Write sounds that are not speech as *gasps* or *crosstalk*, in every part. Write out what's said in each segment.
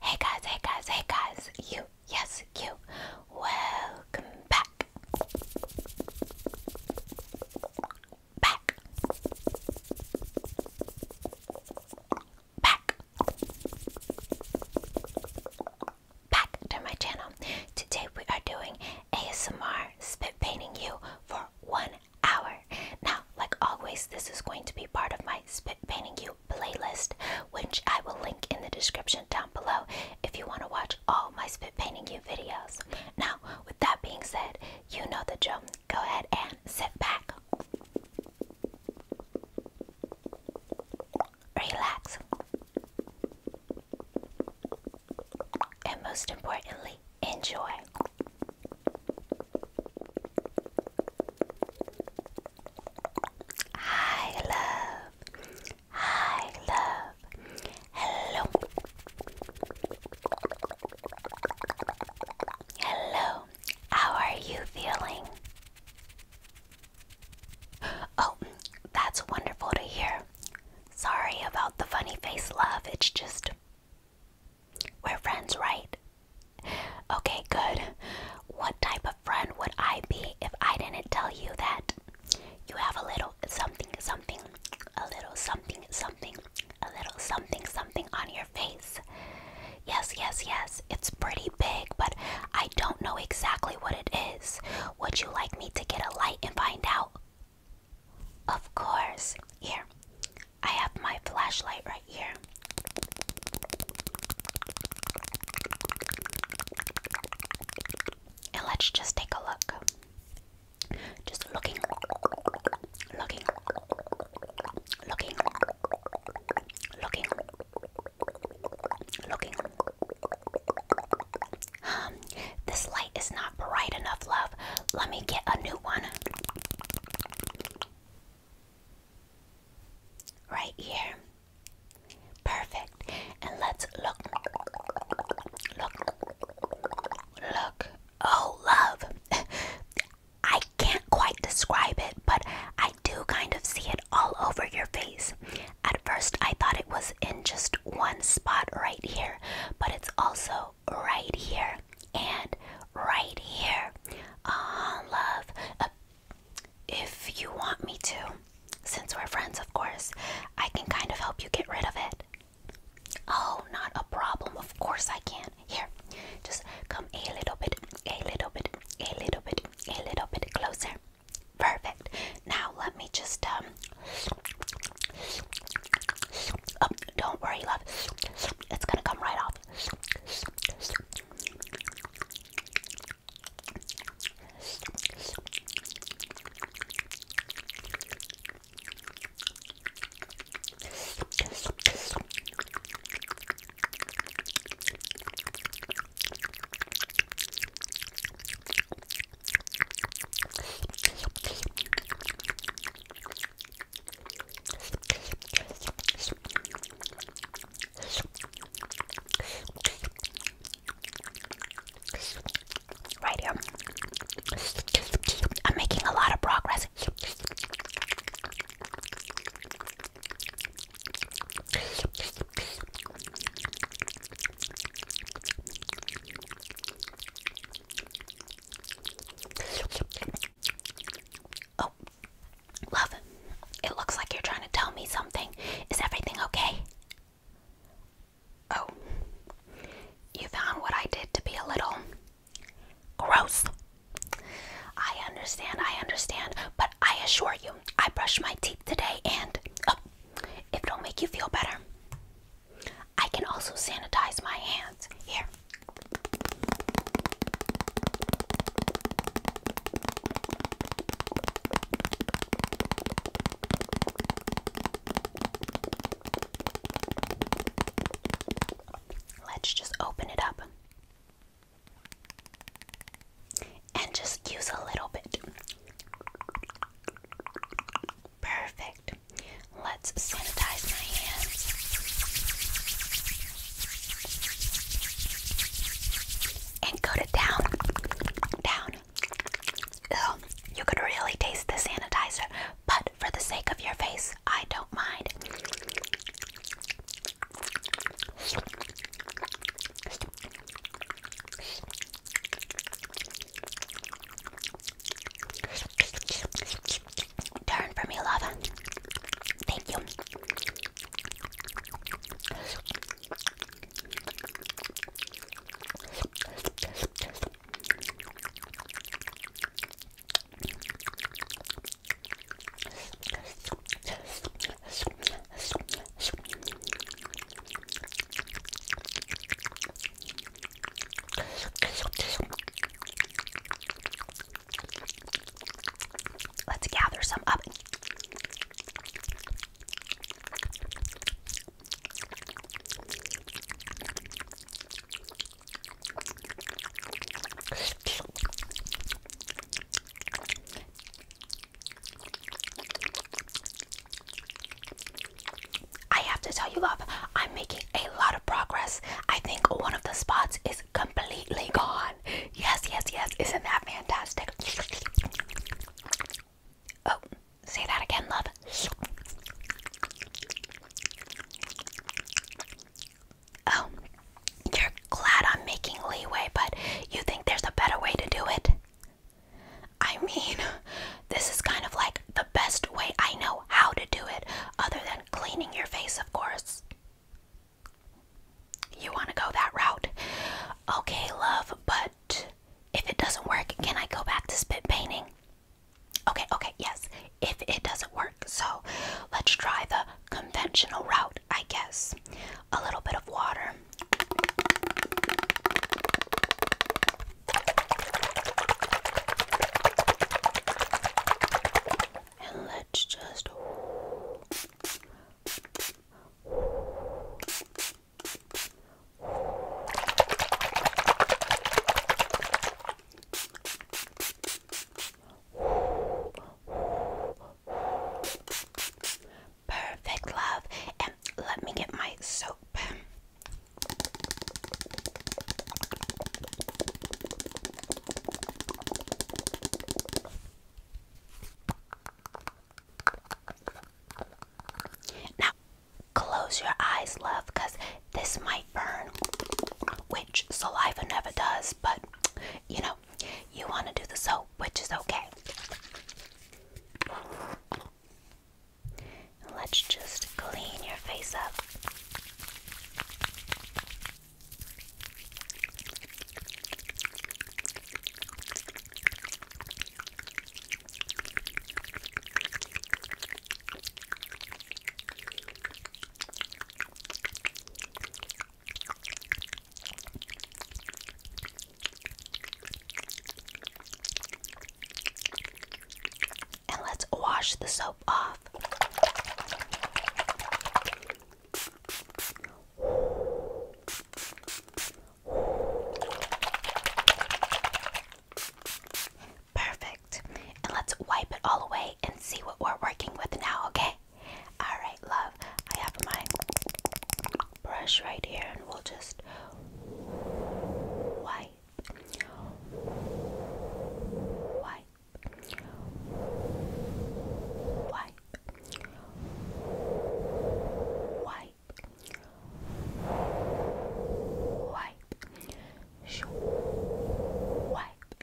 Hey guys, hey guys, hey guys, you, yes, you, welcome back. Back. Back. Back to my channel. Today we are doing ASMR spit painting you for one hour. Now, like always, this is going to be part of my Spit Painting You playlist, which I will link in the description down below if you want to watch all my Spit Painting You videos. Now, with that being said, you know the drill. Go ahead and sit back, relax, and most importantly, enjoy. Hi, love. Hi, love. Hello. Hello. How are you feeling? Oh, that's wonderful to hear. Sorry about the funny face, love. It's just we're friends, right? Okay, good. What type of friend would I be if I didn't tell you that you have a little something, something, a little something, something, a little something, something on your face? Yes, yes, yes. It's pretty big, but I don't know exactly what it is. Would you like me to get a light and find out? Of course. Here, I have my flashlight right here. And let's just take a look. Just looking, looking, looking, looking, looking. Um, this light is not bright enough, love. Let me get a new one. Right here. Perfect. And let's look. Look. Look. Oh, love. *laughs* I can't quite describe it, but I do kind of see it all over your face. At first, I thought it was in just one spot right here, but it's also right here and right here. ah, love. Uh, if you want me to, since we're friends, of course, I can kind of help you get rid of it. Oh, not a problem. Of course I can. Here, just come a little bit, a little bit, a little bit, a little bit closer. Perfect. Now let me just um Oh, don't worry, love. It's gonna come right off. Right here. I'm making a lot of progress. Oh, love, it looks like you're trying to tell me something. Is everything okay? Oh, you found what I did to be a little gross. I understand, I understand, but I assure you, I brushed my teeth today and oh, if it don't make you feel better, I can also sanitize my hands. Here, Let's just open it up and just use a little bit. Perfect. Let's sanitize my hands. And go to down. Down. Ugh, you could really taste the sanitizer, but for the sake of your face, I don't mind. Turn for me, love. Thank you. Let's gather some up. I have to tell you, love, I'm making a lot of progress. I think one of the spots is completely gone. Yes, yes, yes. Isn't that fantastic? Oh, say that again, love. Oh, you're glad I'm making leeway, but you think there's a better way to do it? I mean, this is kind of like the best way I know how to do it, other than cleaning your face, of course. You want to go that route? Okay, love, but if it doesn't work, can I go back to spit painting? Okay, okay, yes. If it doesn't work, so let's try the conventional route, I guess. A little bit of water and let's just Perfect love, and let me get my soap. Now, close your eyes, love, because this might burn, which saliva never does, but you know, you want to do the soap, which is okay. Let's just clean your face up. And let's wash the soap off. Perfect. And let's wipe it all away and see what we're working with now, okay? Alright, love. I have my brush right here and we'll just wipe. Wipe. Wipe. Wipe. Wipe. Shoo. Wipe.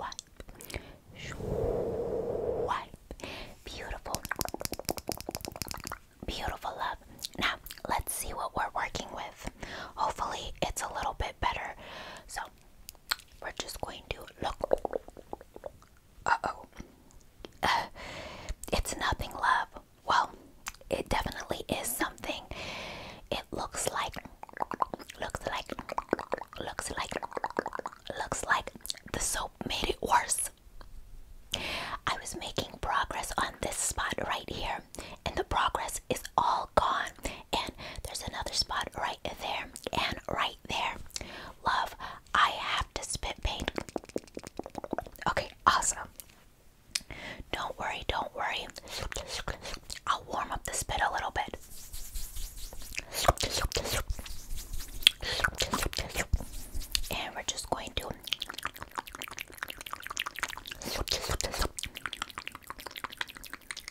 Wipe. Wipe. Beautiful. Beautiful love. Now, let's see what we're working with. Hopefully, it's a little bit better. So we're just going to look. oh. *laughs* it's nothing, love. Well, it definitely is something. It looks like, looks like, looks like, looks like the soap made it worse. I was making progress on this spot right here, and the progress is all gone. And there's another spot right there and right there. Love, I have to spit paint. Okay, awesome. Don't worry, don't worry. I'll warm up the spit a little bit. And we're just going to.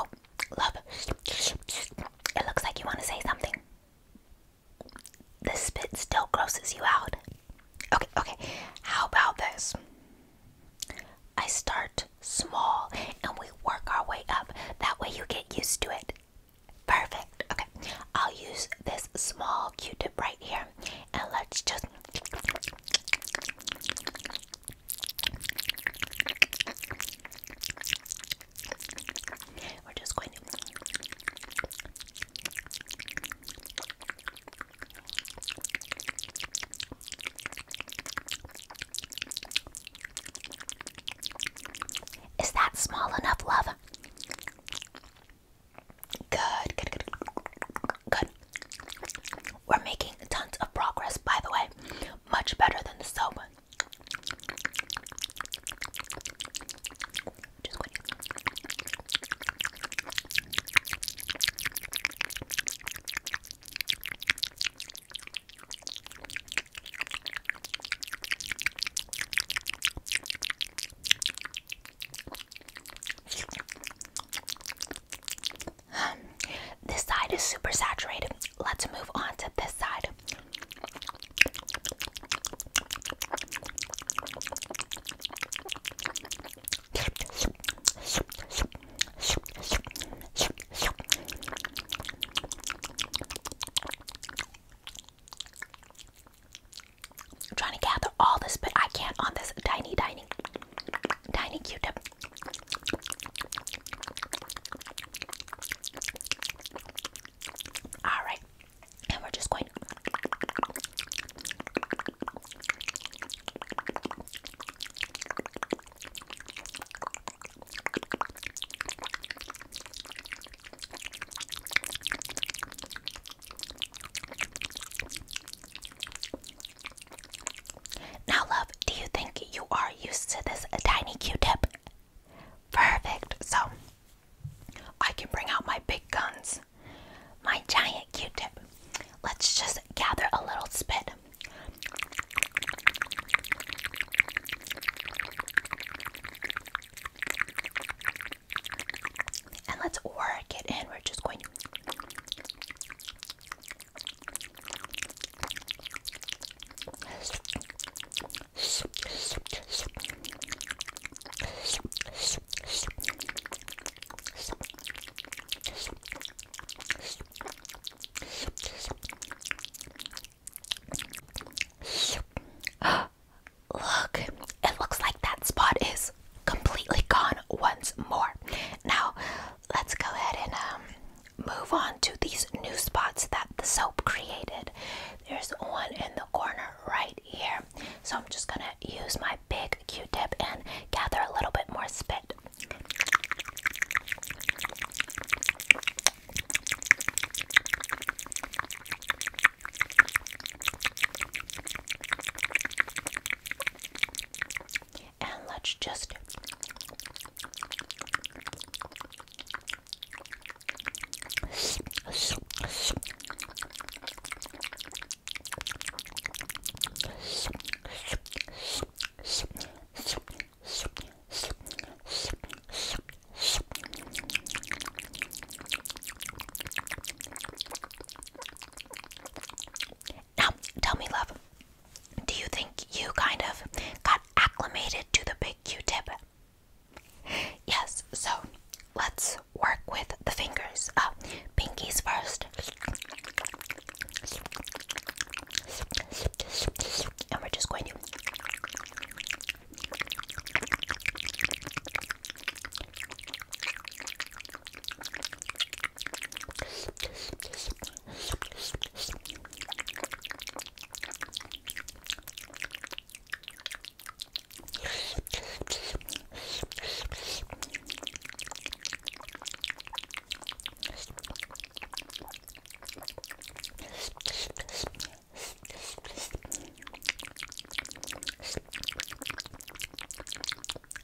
Oh, love. It looks like you want to say something the spit still grosses you out. Okay, okay. How about this? I start small and we work our way up. That way you get used to it. Perfect. Okay. I'll use this small q tip right here and let's just. We're just going to. Is that small enough, love? Good, good, good, good. We're making tons of progress, by the way. Much better than the soap. Um, this side is super saturated. Let's move on to this side. I'm trying to gather all this, but I can't on this tiny, tiny, tiny Q-tip. All right, and we're just going. Now, love, do you think you are used to this tiny Q-tip? Perfect. So I can bring out my big guns my giant Q-tip. Let's just gather a little spit. And let's work it in. We're just going to. *gasps* Look, it looks like that spot is completely gone once more. Now, let's go ahead and um, move on to these new spots that the soap created. There's one in the corner right here. So I'm just gonna use my big Q-tip and gather a little bit more spit. And let's just now, tell me, love, do you think you kind of got acclimated to the big Q tip? Yes, so let's work with the fingers. Uh, pinkies first. And we're just going to.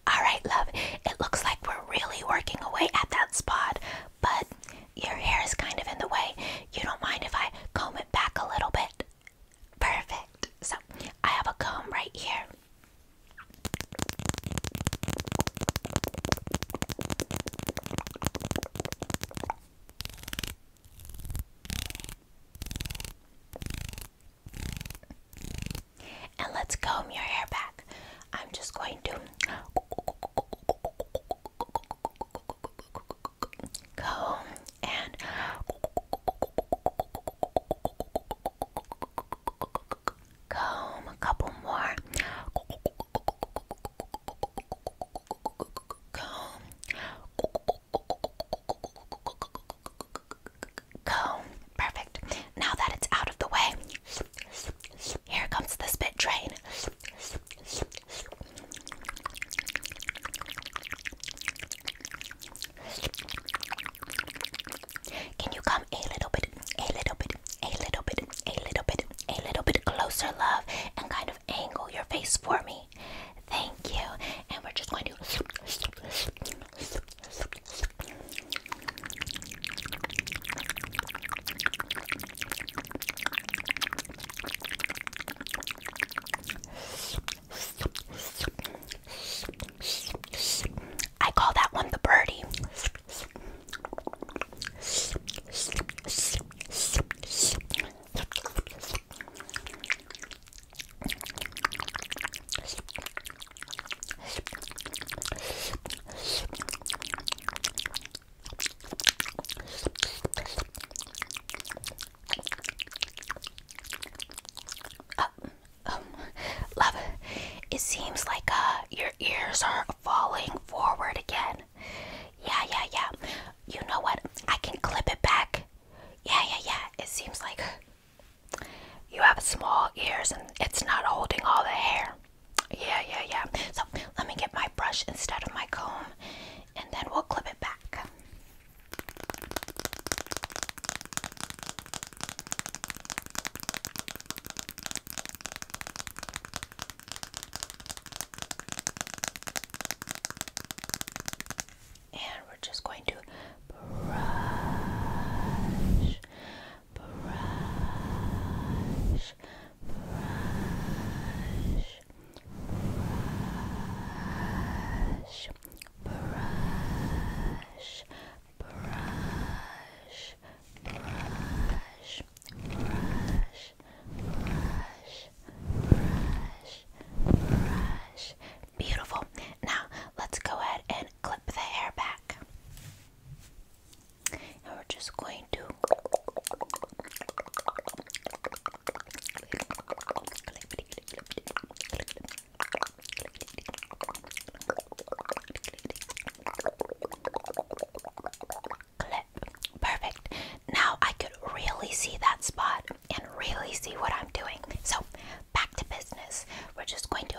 All right, love. It looks like we're really working away at that spot, but your hair is kind of in the way. You don't mind if I comb it back a little bit? Perfect. So I have a comb right here. And let's comb your hair back. I'm just going to go and comb a couple more comb comb perfect now that it's out of the way here comes the spit train can you come a little bit, a little bit, a little bit, a little bit, a little bit closer, love, and kind of angle your face for me? Thank you. And we're just going to. I call that one the birdie. Um, um, love, it seems like uh, your ears are falling forward again. Yeah, yeah, yeah. You know what? I can clip it back. Yeah, yeah, yeah. It seems like you have small ears and it's not holding all the hair. Yeah, yeah, yeah. So let me get my brush instead of my comb and then we'll clip it back. And we're just going to brush, brush, brush, brush, brush, brush, brush, brush, brush, brush, brush. Beautiful. Now let's go ahead and clip the hair back. And we're just going to clip, clip, clip, clip, clip, clip, clip, clip, Perfect. Now I could really see that spot and really see what I'm doing. So, back to business. We're just going to.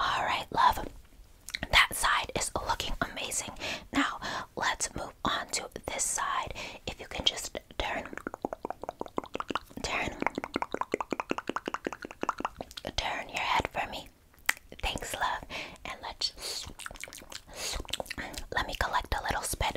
All right, love that side is looking amazing. Now, let's move on to this side. If you can just turn, turn, turn your head for me. Thanks, love. And let's let me collect a little spit.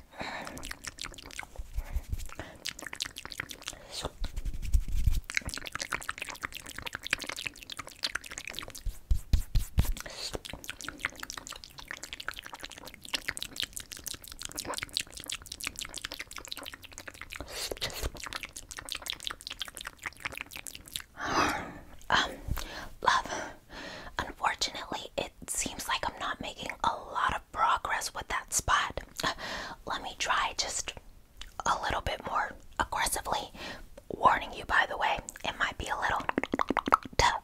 um, love Unfortunately, it seems like I'm not making a lot of progress with that spot. Let me try just a little bit more aggressively. Warning you, by the way, it might be a little tough.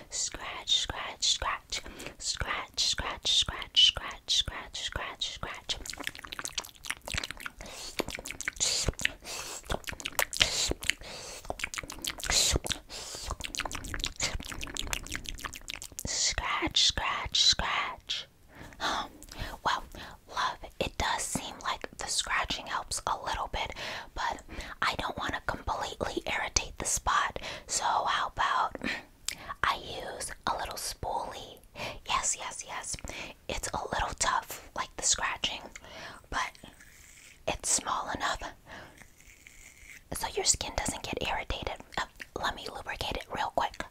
Scratch, scratch, scratch. Scratch, scratch, scratch, scratch, scratch, scratch, scratch. Scratch, scratch, scratch. Huh. *gasps* Well, love, it does seem like the scratching helps a little bit, but I don't want to completely irritate the spot. So, how about *clears throat* I use a little spoolie? Yes, yes, yes. It's a little tough, like the scratching, but it's small enough so your skin doesn't get irritated. Uh, let me lubricate it real quick.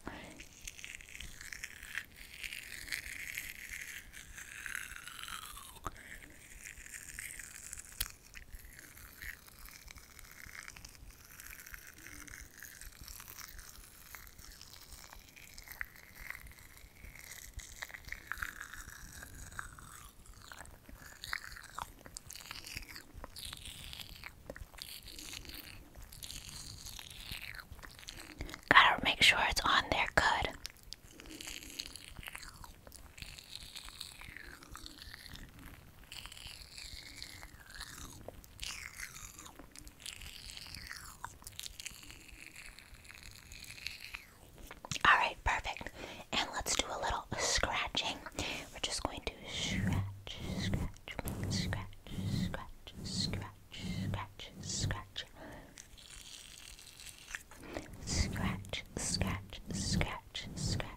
Gotta make sure it's on there good. All right, perfect. And let's do a little scratching. We're just going to scratch, scratch, scratch, scratch, scratch, scratch, scratch. Scratch, scratch, scratch, scratch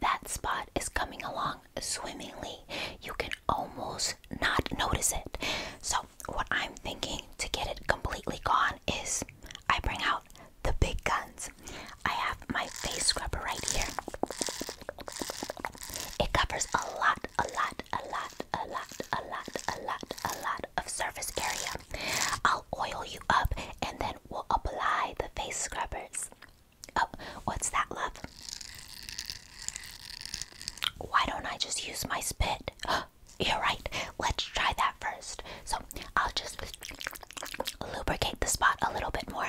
that spot is coming along swimmingly. You can almost not notice it. So, what I'm thinking to get it completely gone is I bring out the big guns. I have my face scrubber right here. It covers a lot, a lot, a lot, a lot, a lot, a lot, a lot of surface area. I'll oil you up and then we'll apply the face scrubbers. Oh, what's that, love? Why don't I just use my spit? *gasps* You're right. Let's try that first. So I'll just lubricate the spot a little bit more.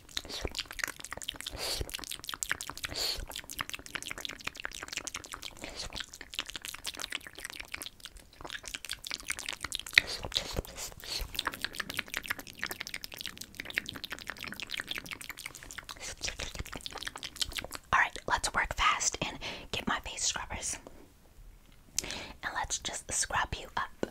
All right, let's work fast and get my face scrubbers. And let's just scrub you up.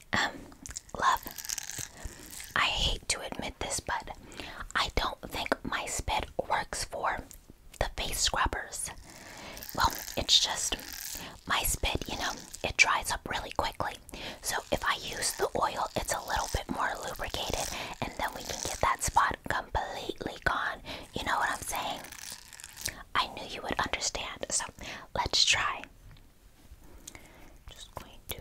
Um, love, I hate to admit this, but I don't think my spit works for the face scrubbers. Well, it's just my spit, you know, it dries up really quickly. So if I use the oil, it's a little bit more lubricated, and then we can get that spot completely gone. You know what I'm saying? I knew you would understand, so let's try. Just going to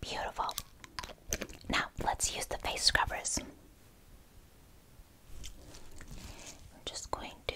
Beautiful. Now let's use the face scrubbers. I'm just going to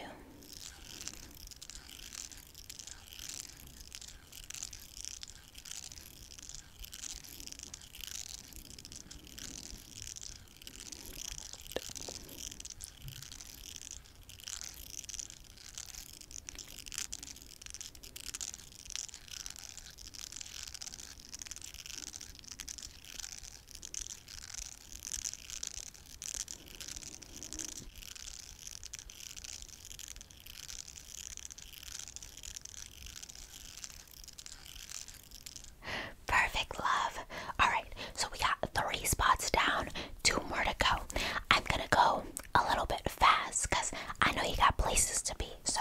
Perfect love. All right, so we got three spots down, two more to go. I'm gonna go a little bit fast because I know you got places to be. So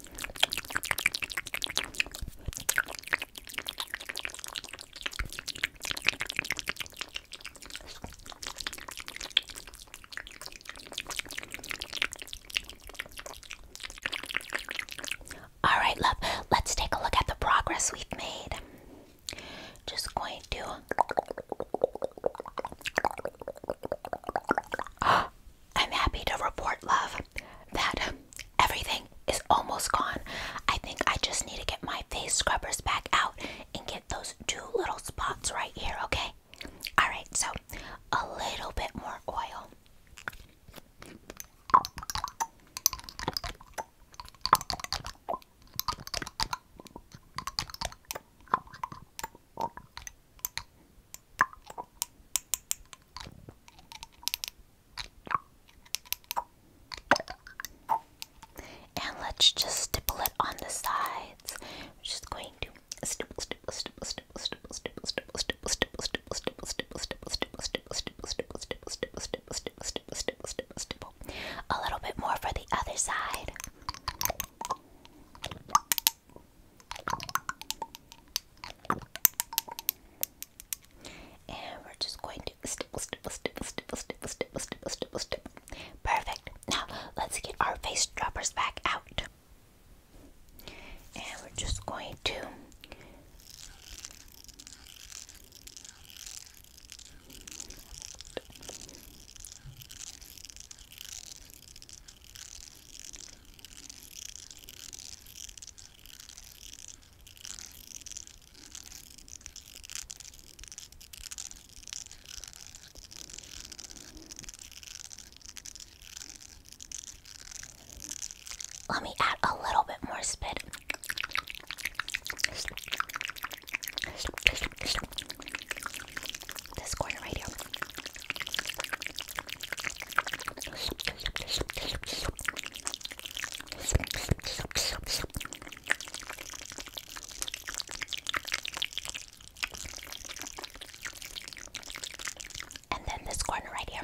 All right, love, let's take a look at the progress we've made. Just going to. *gasps* I'm happy to report, love, that everything is almost gone. I think I just need to get my face scrubbers back out and get those two little spots right here, okay? Alright, so a little bit more oil. And let's just stipple it on the sides. We're just going to stipple, stipple, stipple, stipple, stipple, stipple, stipple, stipple, stipple, stipple, stipple, stipple, stipple, stipple, stipple, stipple, stipple, stipple, stipple, stipple. A little bit more for the other side. And we're just going to Perfect. Now let's get our face droppers back out. And we're just going to let me add a little bit more spit. This corner right here. And then this corner right here.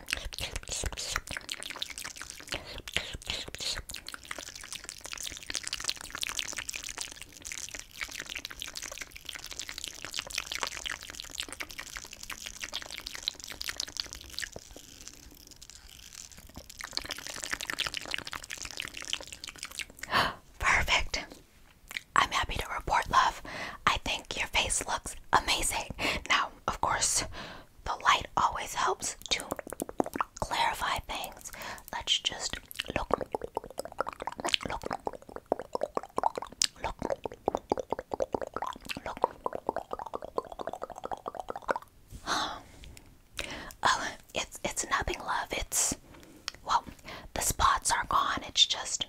*gasps* Perfect. I'm happy to report, love. I think your face looks amazing. Now, of course, the light always helps to clarify things. Let's just look, look, look, *gasps* oh, it's it's nothing, love. It's well, the spots are gone. It's just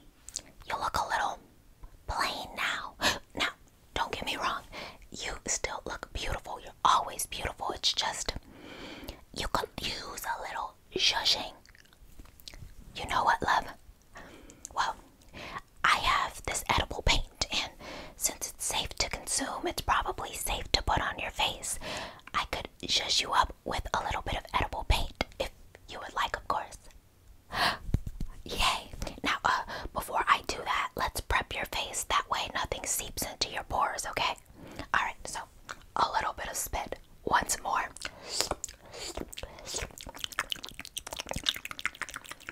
you look a little plain now. *gasps* Now, don't get me wrong. You still look beautiful. You're always beautiful. It's just you could use a little shushing. You know what, love? Well, I have this edible paint, and since it's safe to consume, it's probably safe to put on your face. I could shush you up with a little bit of edible paint if you would like, of course. *gasps* Yay! Now, uh, before I do that, let's prep your face. That way, nothing seeps into your pores, okay? Alright, so a little bit of spit once more.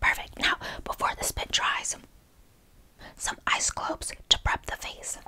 Perfect. Now, before the spit dries, ice globes to prep the face.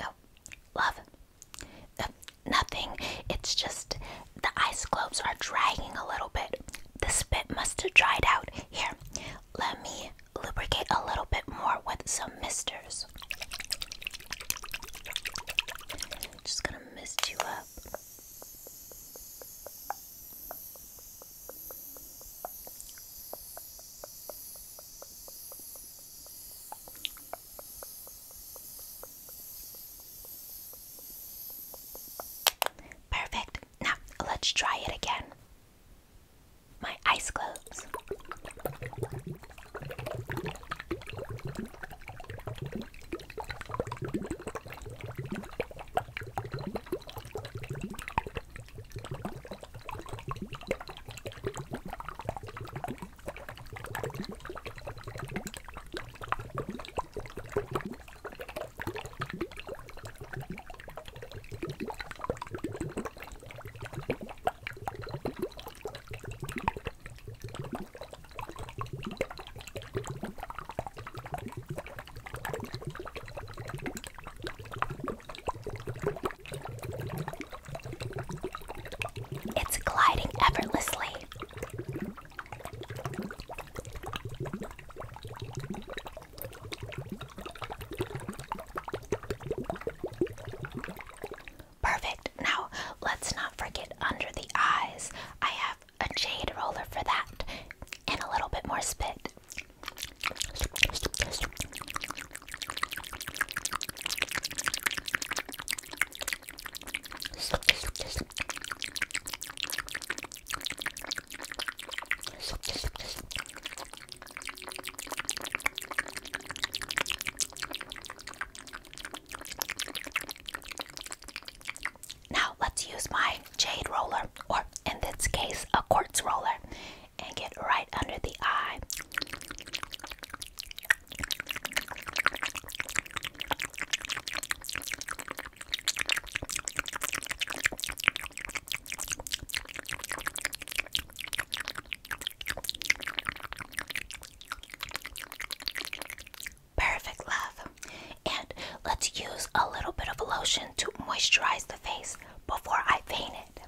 Oh, love. Uh, nothing. It's just the ice globes are dragging a little bit. The spit must have dried out. Here, let me lubricate a little bit more with some misters. Just gonna mist you up. Perfect. Now let's try it again my eyes closed. It's gliding effortlessly. Perfect. Now, let's not forget under the eyes. I have a jade roller for that and a little bit more spit. Now let's use my jade roller, or in this case, a quartz roller, and get right under the eye. Perfect, love. And let's use a little bit of lotion to moisturize the face before I paint it.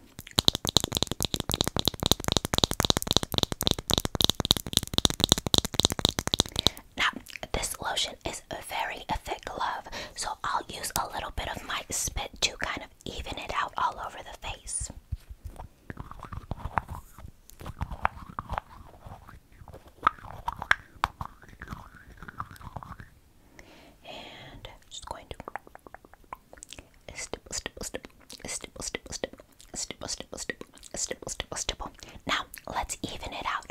Now, this lotion a very thick glove, so I'll use a little bit of my spit to kind of even it out all over the face. And just going to stipple, stipple, stipple, stipple, stipple, stipple, stipple, stipple, stipple, stipple. Now let's even it out.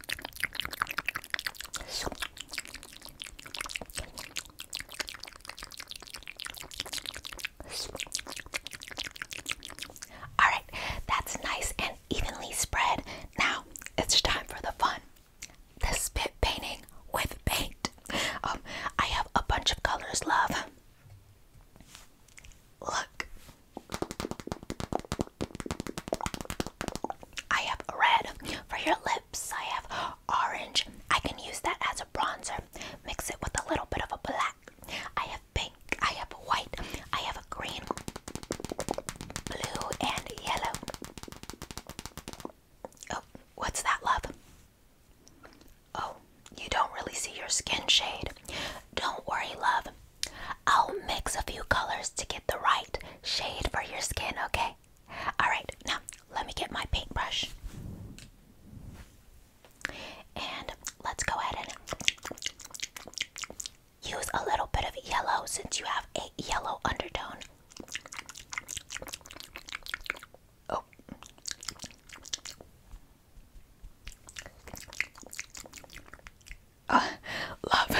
All right, that's nice and evenly spread. Now it's time for the fun the spit painting with paint. Um, I have a bunch of colors, love. Look, I have red for your lips. I have orange. I can use that as a bronzer. Mix it with a little bit of a black. I have pink. I have white. I have a green, blue, and yellow. Oh, what's that, love? Oh, you don't really see your skin shade. Don't worry, love. I'll mix a few colors to get the right shade for your skin, okay? Alright, now let me get my paintbrush. And let's go ahead and use a little bit of yellow since you have a yellow undertone. Oh. Uh, love,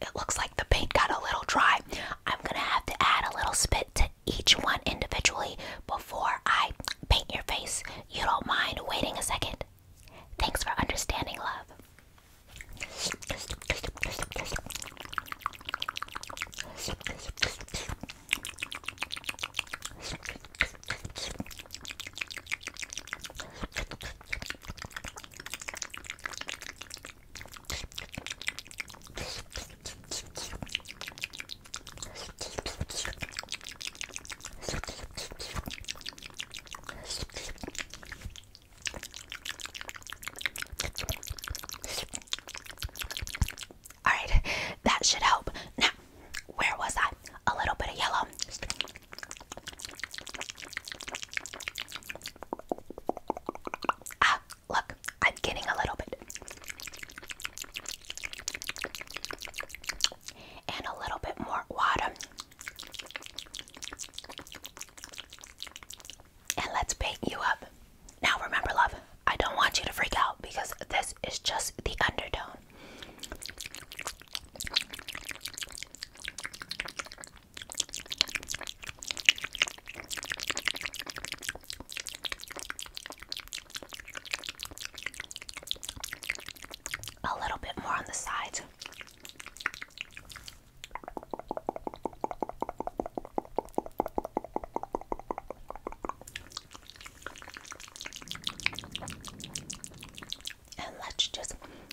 it looks like the paint got a little dry. I'm gonna have to add a little spit to each one individually before I paint your face. You don't mind waiting a second? Thanks for understanding, love. All right, that should help. Now, where was I? A little bit of yellow. Ah, look, I'm getting a little bit. And a little bit more water. And let's paint you up. Now, remember, love, I don't want you to freak out because this is just the undertone. A little bit more on the sides. And let's just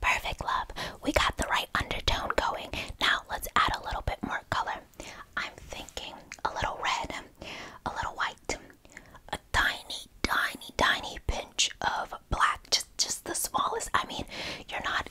Perfect, love. We got the right undertone going. Now let's add a little bit more color. I'm thinking a little red, a little white, a tiny, tiny, tiny pinch of black. Just, just the smallest. I mean, you're not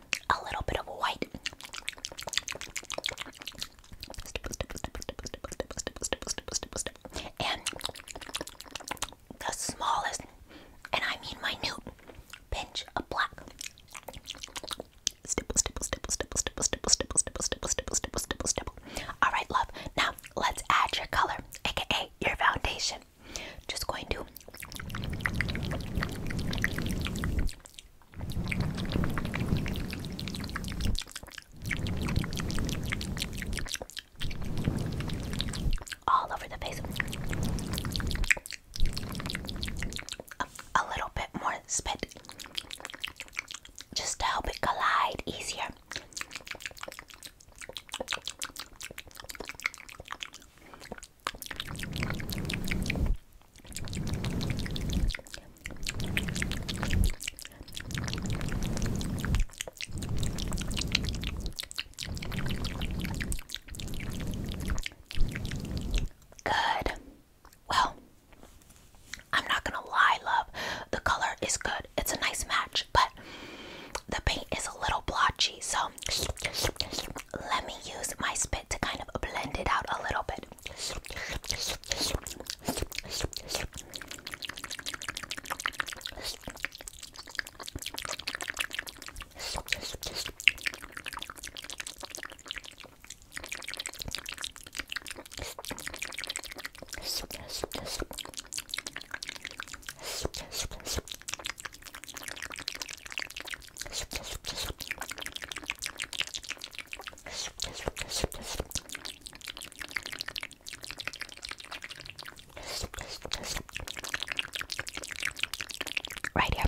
a little bit of white. And the smallest, and I mean minute, pinch of black. Stipple, stipple, stipple, stipple, stipple, stipple, stipple, stipple, stipple, stipple, stipple, stipple. All right, love. Now let's add your color, aka your foundation. Just going to all over the face. A, little bit more spit just to help it collide easier. Good. Well, I'm not gonna lie, love. The color is good. It's a nice match, but the paint is a little blotchy, so let me use my spit to kind of blend it out a little bit. Right here.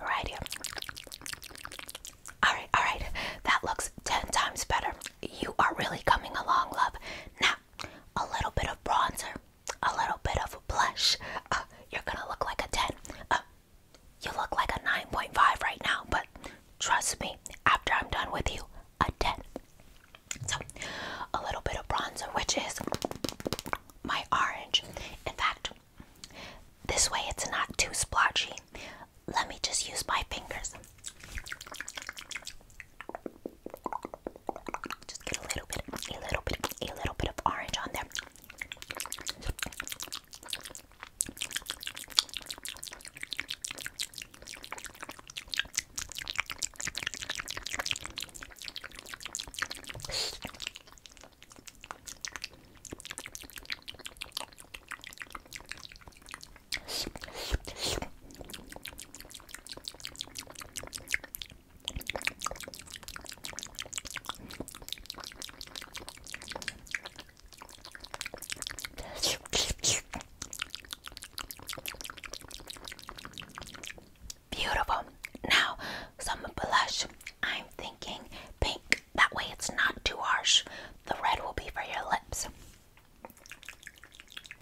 Right here. Alright, alright. That looks 10 times better. You are really coming along, love. Now, a little bit of bronzer a little bit of a blush, uh, you're gonna look like a 10. Uh, you look like a 9.5 right now, but trust me, after I'm done with you, a 10. So, a little bit of bronzer, which is my orange. In fact, this way it's not too splotchy. Let me just use my fingers. Just get a little bit, a little bit, a little bit of orange on there. Beautiful. Now, some blush. I'm thinking pink. That way it's not too harsh. The red will be for your lips.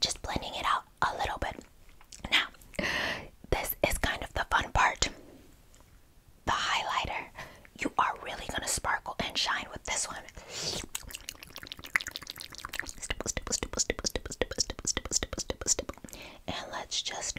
Just blending it out a little bit. Now, this is kind of the fun part. The highlighter. You are really going to sparkle and shine with this one. And let's just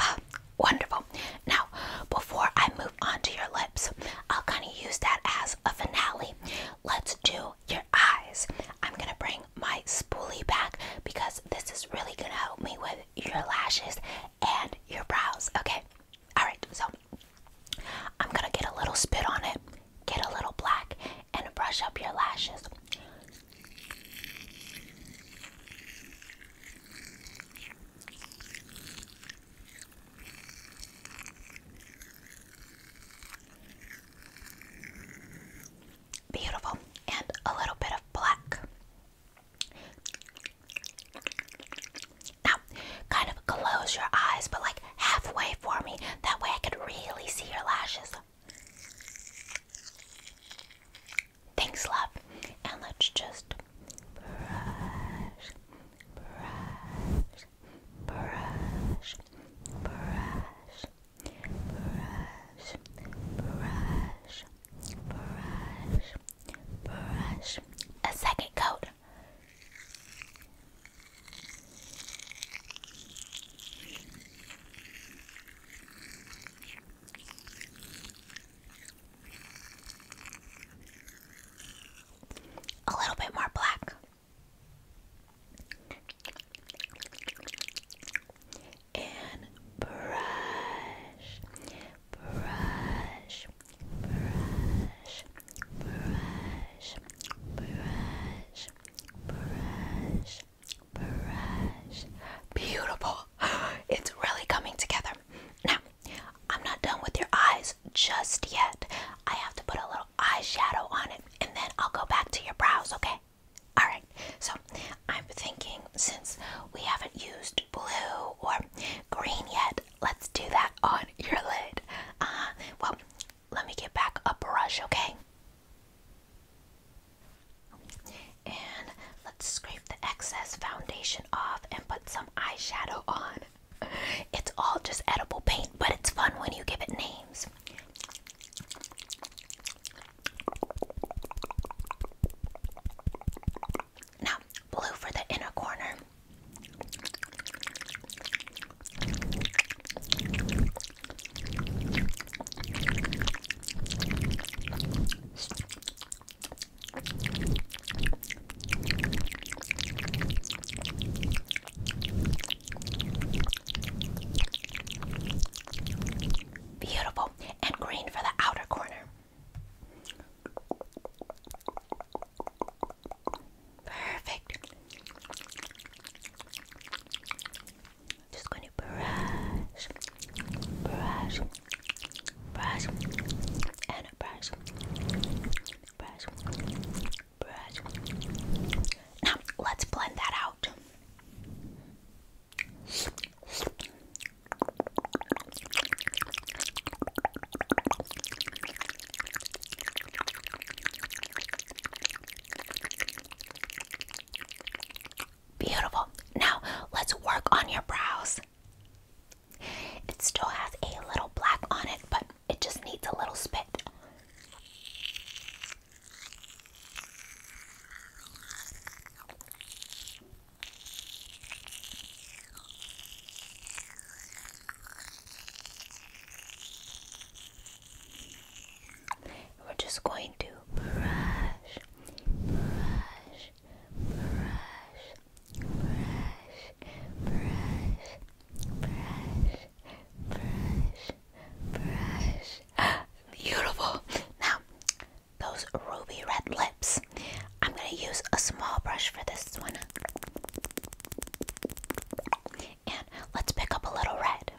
Ah, wonderful. Now, before I move on to your lips, I'll kind of use that as a finale. Let's do your eyes. I'm gonna bring my spoolie back because this is really gonna help me with your lashes and your brows. Okay, alright, so I'm gonna get a little spit on it, get a little black, and brush up your lashes. Beautiful. And a little bit of black. Now, kind of close your eyes, but like halfway for me. That way I could really see your lashes. Thanks, love. And let's just brush, brush, brush, brush, brush, brush, brush, brush. A second coat. A little bit more black and brush, brush, brush, brush, brush, brush, brush. Beautiful. *gasps* It's really coming together. Now, I'm not done with your eyes just yet. I have to put a little eyeshadow on it and then I'll go back to your brows, okay? Alright, so I'm thinking since we haven't used blue or green yet, let's do that on your lid. Uh, well, let me get back a brush, okay? And let's scrape the excess foundation off and put some eyeshadow on. It's all just edible paint, but it's fun when you give it names. Now, blue for the inner corner. Beautiful. And green for the outer corner. Perfect. Just going to brush, brush, brush, and brush, brush, now, let's blend that out. Beautiful. Now, let's work on your brows. It still has a little black on it, but it just needs a little spit. We're just going to brush, brush, brush, brush, brush, brush, brush, brush. *gasps* Beautiful. Now, those ruby red lips. I'm going to use a small brush for this one. And let's pick up a little red.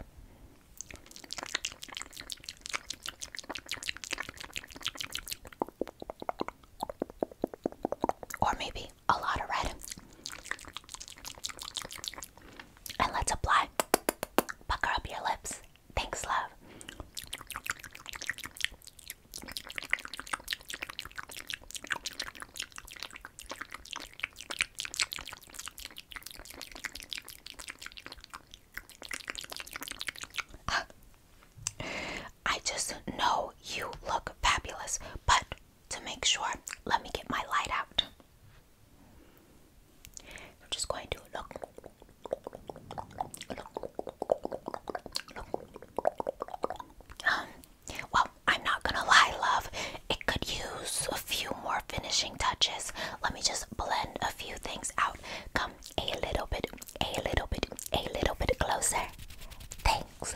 Or maybe a lot of red. And let's apply. Pucker up your lips. Thanks, love. I just know you look fabulous, but to make sure, let me get my light out. You're just going to look, um, well, I'm not gonna lie, love. It could use a few more finishing touches. Let me just blend a few things out. Come a little bit, a little bit, a little bit closer. Thanks.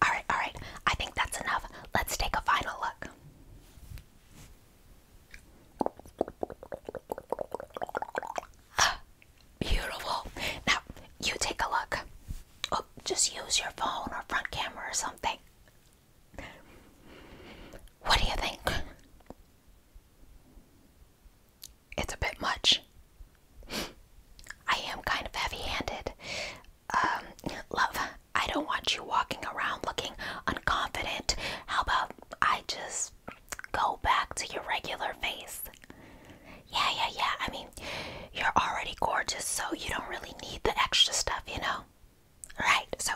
All right, all right. I think that's enough. Let's take a final look. *gasps* Beautiful. Now, you take a look oh, just use your phone or front camera or something. What do you think? It's a bit much. I am kind of heavy handed. Um, love, I don't want you walking around looking unconfident. How about I just go back to your regular face? Yeah, yeah, yeah. I mean, you're already gorgeous, so you don't really need the extra stuff, you know? Right, so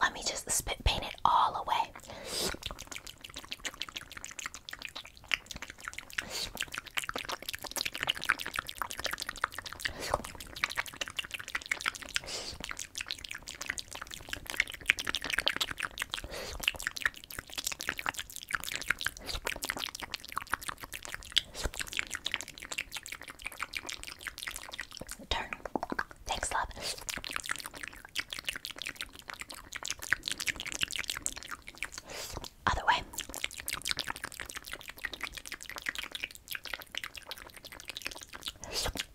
let me just spit paint it all away. Turn. Thanks, love. Other way.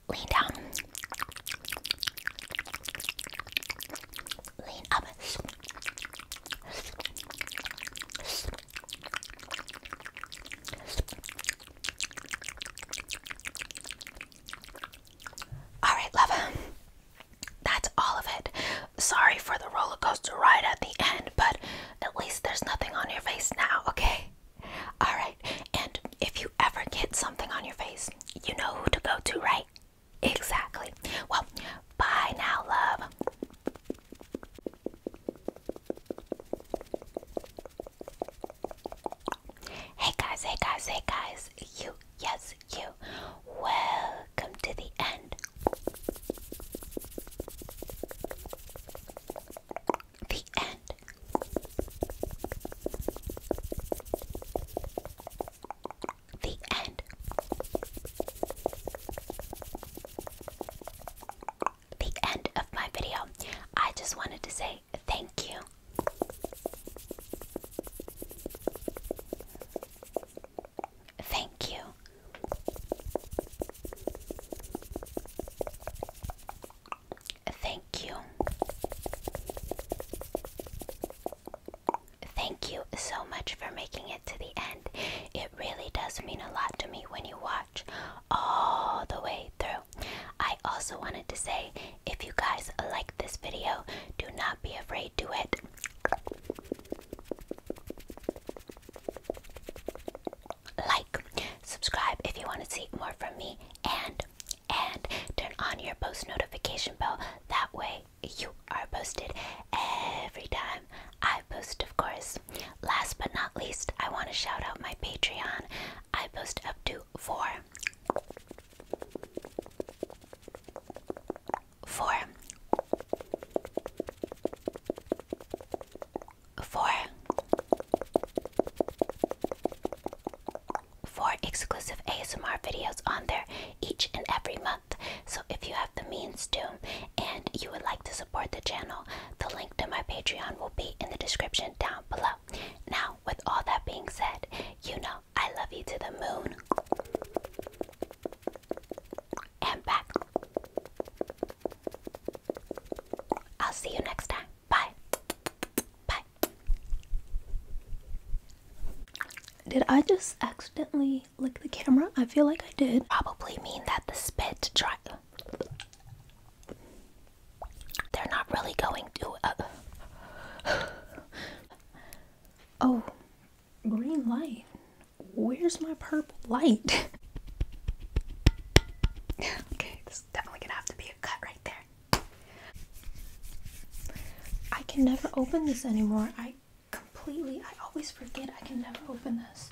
Lean down. Lean up. Alright, love That's all of it. Sorry for the roller coaster ride at the end, but at least there's nothing on your face now, okay? Alright, and if you ever get something on your face, you know who to go to, right? Exactly. Well, bye now, love. Hey guys, hey guys, hey guys, you, yes, you. Welcome to the end. The end. The end the end of my video. I just wanted to say thank you. Thank you. Thank you. Thank you so much for making it to the end. It really does mean a lot to me when you watch all the way through. I also wanted to say if you guys like this video, do not be afraid to it. Like, subscribe if you want to see more from me, and and turn on your post notification bell. That way you are posted every time I post, of course. Last but not least, I want to shout out my Patreon. I post up to four, four, four, four exclusive ASMR videos on there each and every month. So if you have the means to and you would like to support the channel, the link to my Patreon will be in the description down below. Now, with all that being said, you know I love you to the moon and back. I'll see you next time. Bye. Bye. Did I just accidentally lick the camera? I feel like I did. Probably mean that the spit dripped. They're not really going to. Uh, *sighs* oh, green light. Where's my purple light? *laughs* okay, this is definitely gonna have to be a cut right there. I can never open this anymore. I completely, I always forget I can never open this.